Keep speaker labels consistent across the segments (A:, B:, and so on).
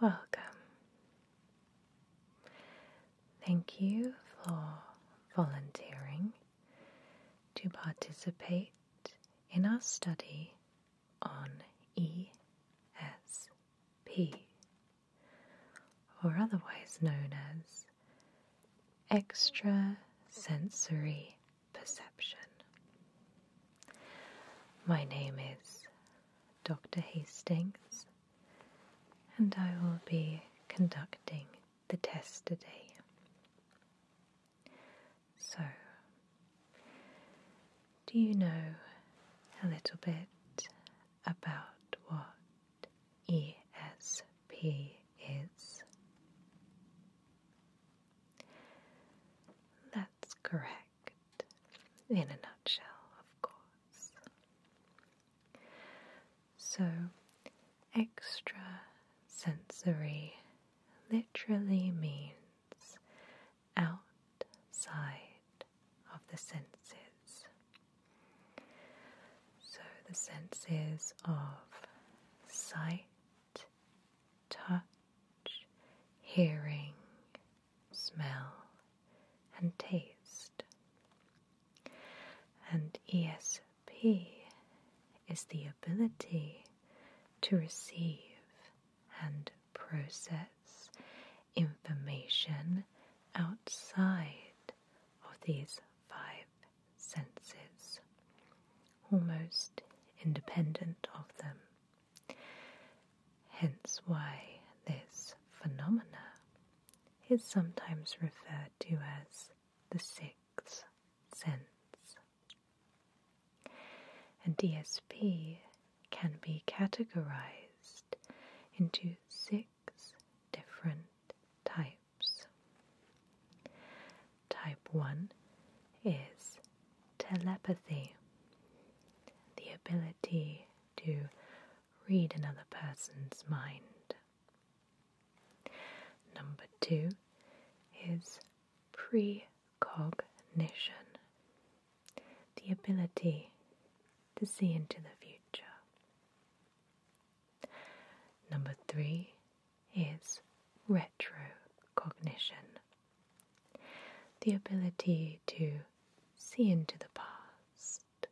A: Welcome. Thank you for volunteering to participate in our study on ESP, or otherwise known as extrasensory perception. My name is Dr. Hastings, and I will be conducting the test today. So, do you know a little bit about what ESP is? That's correct in a nutshell, of course. So, extra sensory literally means outside of the senses. So, the senses of sight, touch, hearing, smell, and taste. And ESP is the ability to receive and process information outside of these five senses, almost independent of them. Hence, why this phenomena is sometimes referred to as the sixth sense. And DSP can be categorized into six different types. Type 1 is telepathy, the ability to read another person's mind. Number two is precognition, the ability to see into the future. Number three is retrocognition, the ability to see into the past.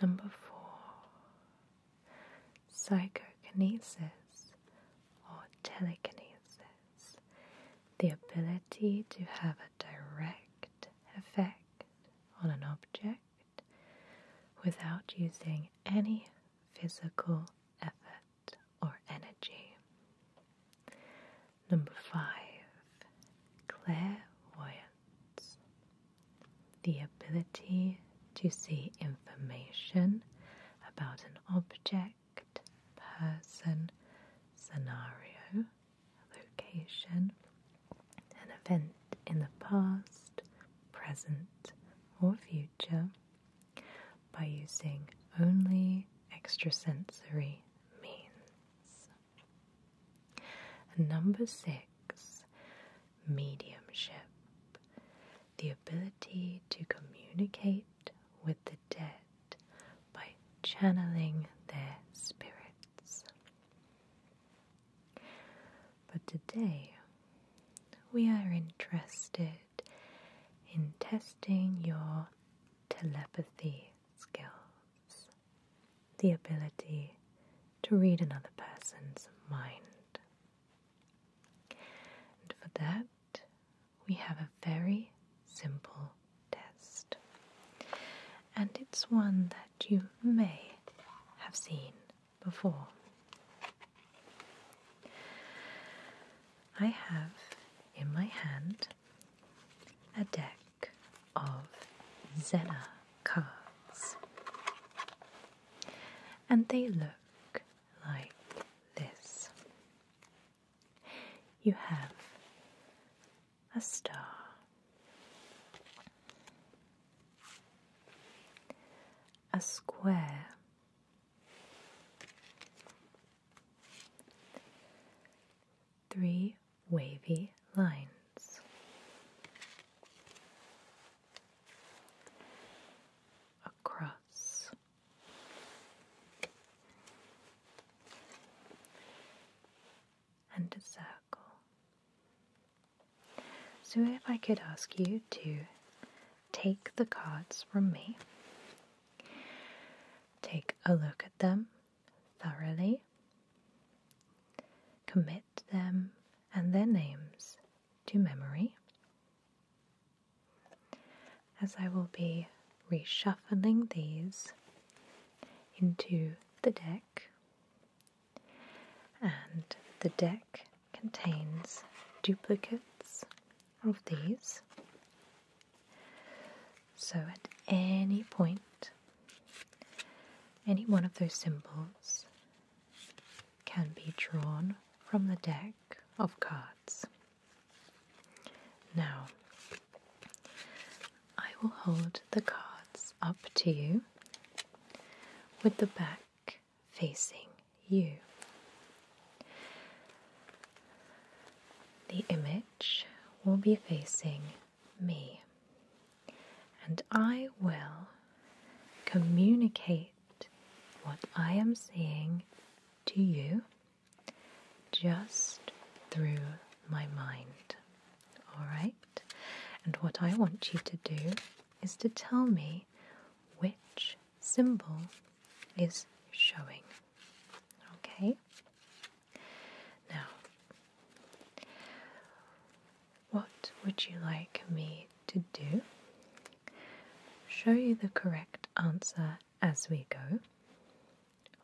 A: Number four, psychokinesis or telekinesis, the ability to have a direct effect on an object without using any physical effort or energy. Number five, clairvoyance. The ability to see information about an object, person, scenario, location, an event in the past, present, or future by using only extrasensory means number six, mediumship. The ability to communicate with the dead by channeling their spirits. But today, we are interested in testing your telepathy skills, the ability to read another person's mind. And for that, we have a very simple test. And it's one that you may have seen before. I have in my hand a deck of Zena cards. And they look like this you have a star, a square three wavy lines. Across. And a circle. So, if I could ask you to take the cards from me, take a look at them thoroughly, commit them and their names to memory, as I will be reshuffling these into the deck, and the deck contains duplicates of these. So at any point, any one of those symbols can be drawn from the deck of cards. Now, I will hold the cards up to you with the back facing you. The image will be facing me. And I will communicate what I am seeing to you just through my mind. Alright? And what I want you to do is to tell me which symbol is showing. Okay? Now, what would you like me to do? Show you the correct answer as we go,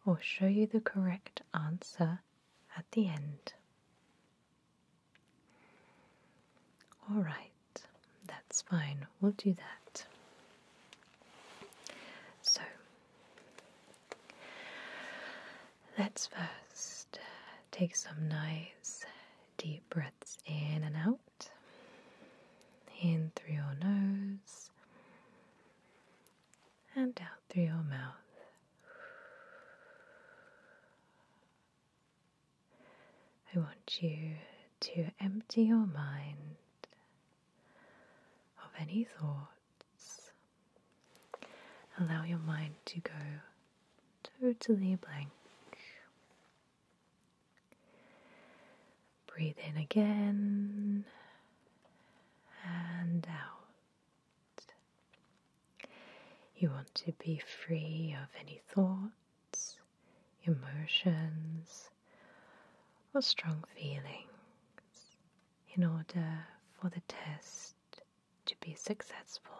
A: or show you the correct answer at the end. Alright, that's fine, we'll do that. So, Let's first uh, take some nice deep breaths in and out. In through your nose and out through your mouth. I want you to empty your mind of any thoughts. Allow your mind to go totally blank. Breathe in again and out. You want to be free of any thoughts, emotions, or strong feelings in order for the test to be successful.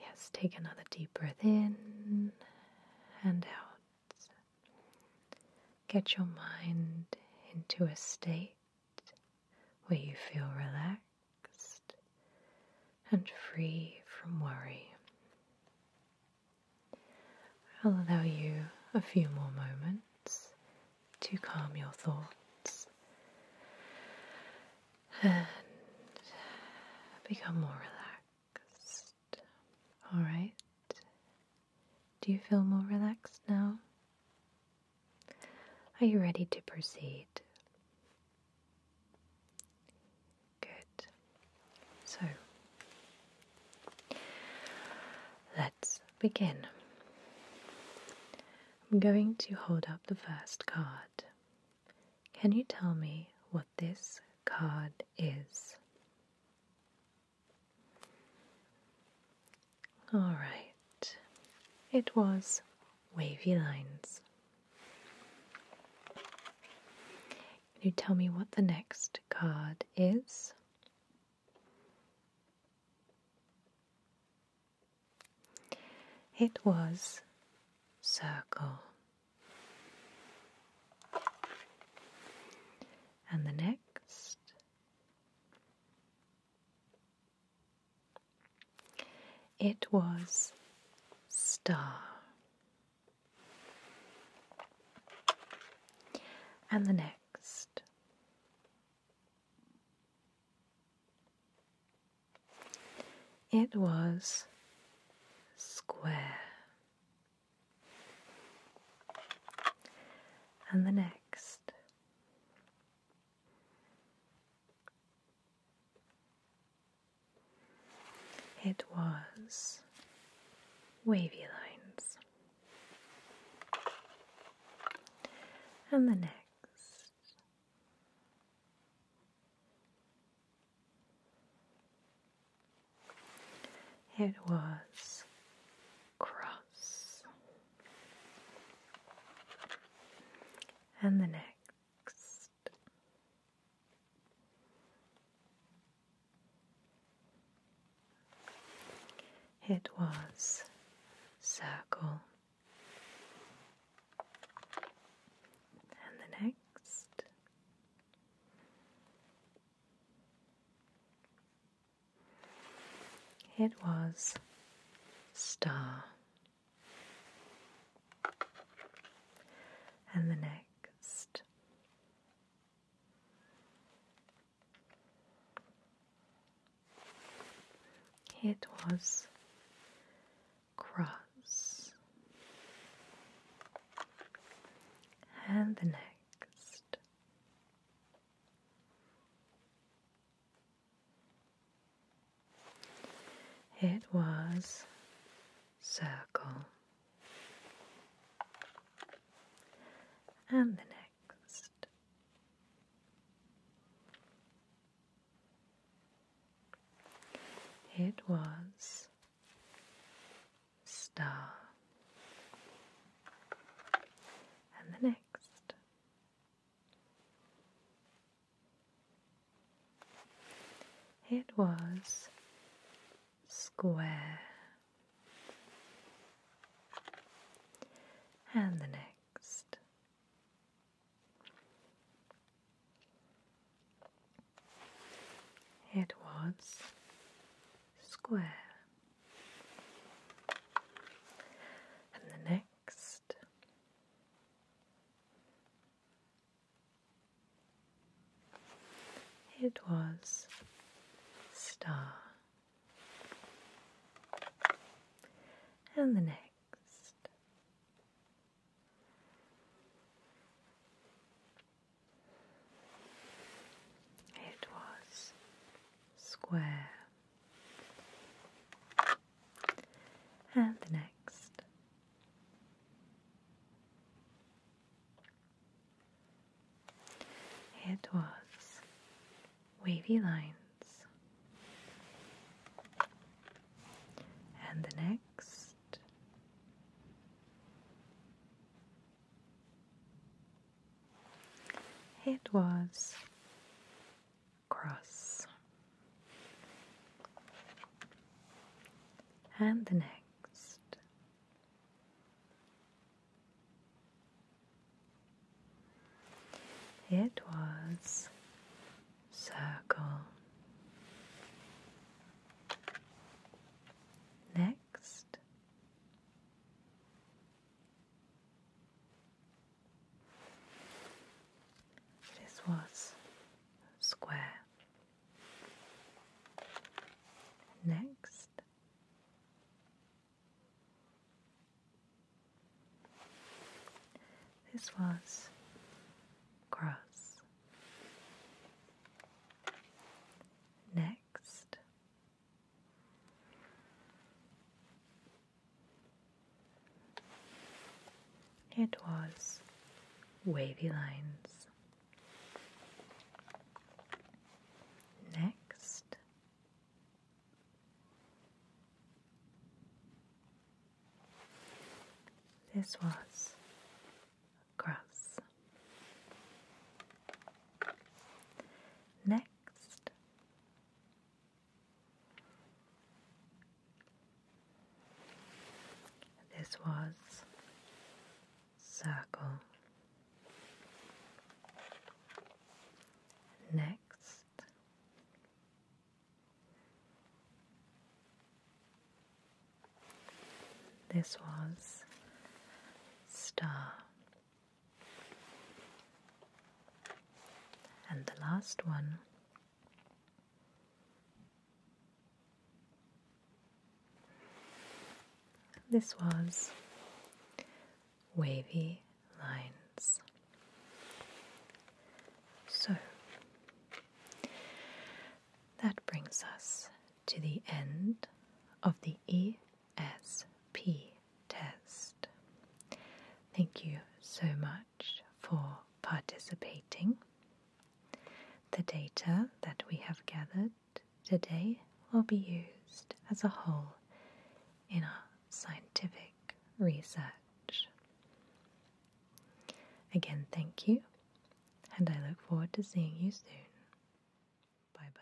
A: Yes, take another deep breath in and out. Get your mind into a state where you feel relaxed and free from worry. I'll allow you a few more moments to calm your thoughts and become more relaxed. Alright, do you feel more relaxed now? Are you ready to proceed? Good. So let's begin. I'm going to hold up the first card. Can you tell me what this card is? All right. It was wavy lines. Can you tell me what the next card is It was circle. And the next it was star and the next. It was square, and the next. It was wavy lines. And the next. It was cross. And the next. It was circle. And the next it was star. And the next it was cross. And the next. It was circle and the next. It was star, and the next. It was square, and the next. It was square. And the next, it was star. And the next. It was square. And the next. It was wavy lines. And the next it was cross. And the next it was circle. Next, this was square. Next, this was grass. Next, it was wavy lines. Next, this was grass. Next, this was circle. Next, this was star, and the last one this was Wavy Lines. So that brings us to the end of the ESP test. Thank you so much for participating. The data that we have gathered today will be used as a whole in our scientific research. Again, thank you, and I look forward to seeing you soon. Bye bye.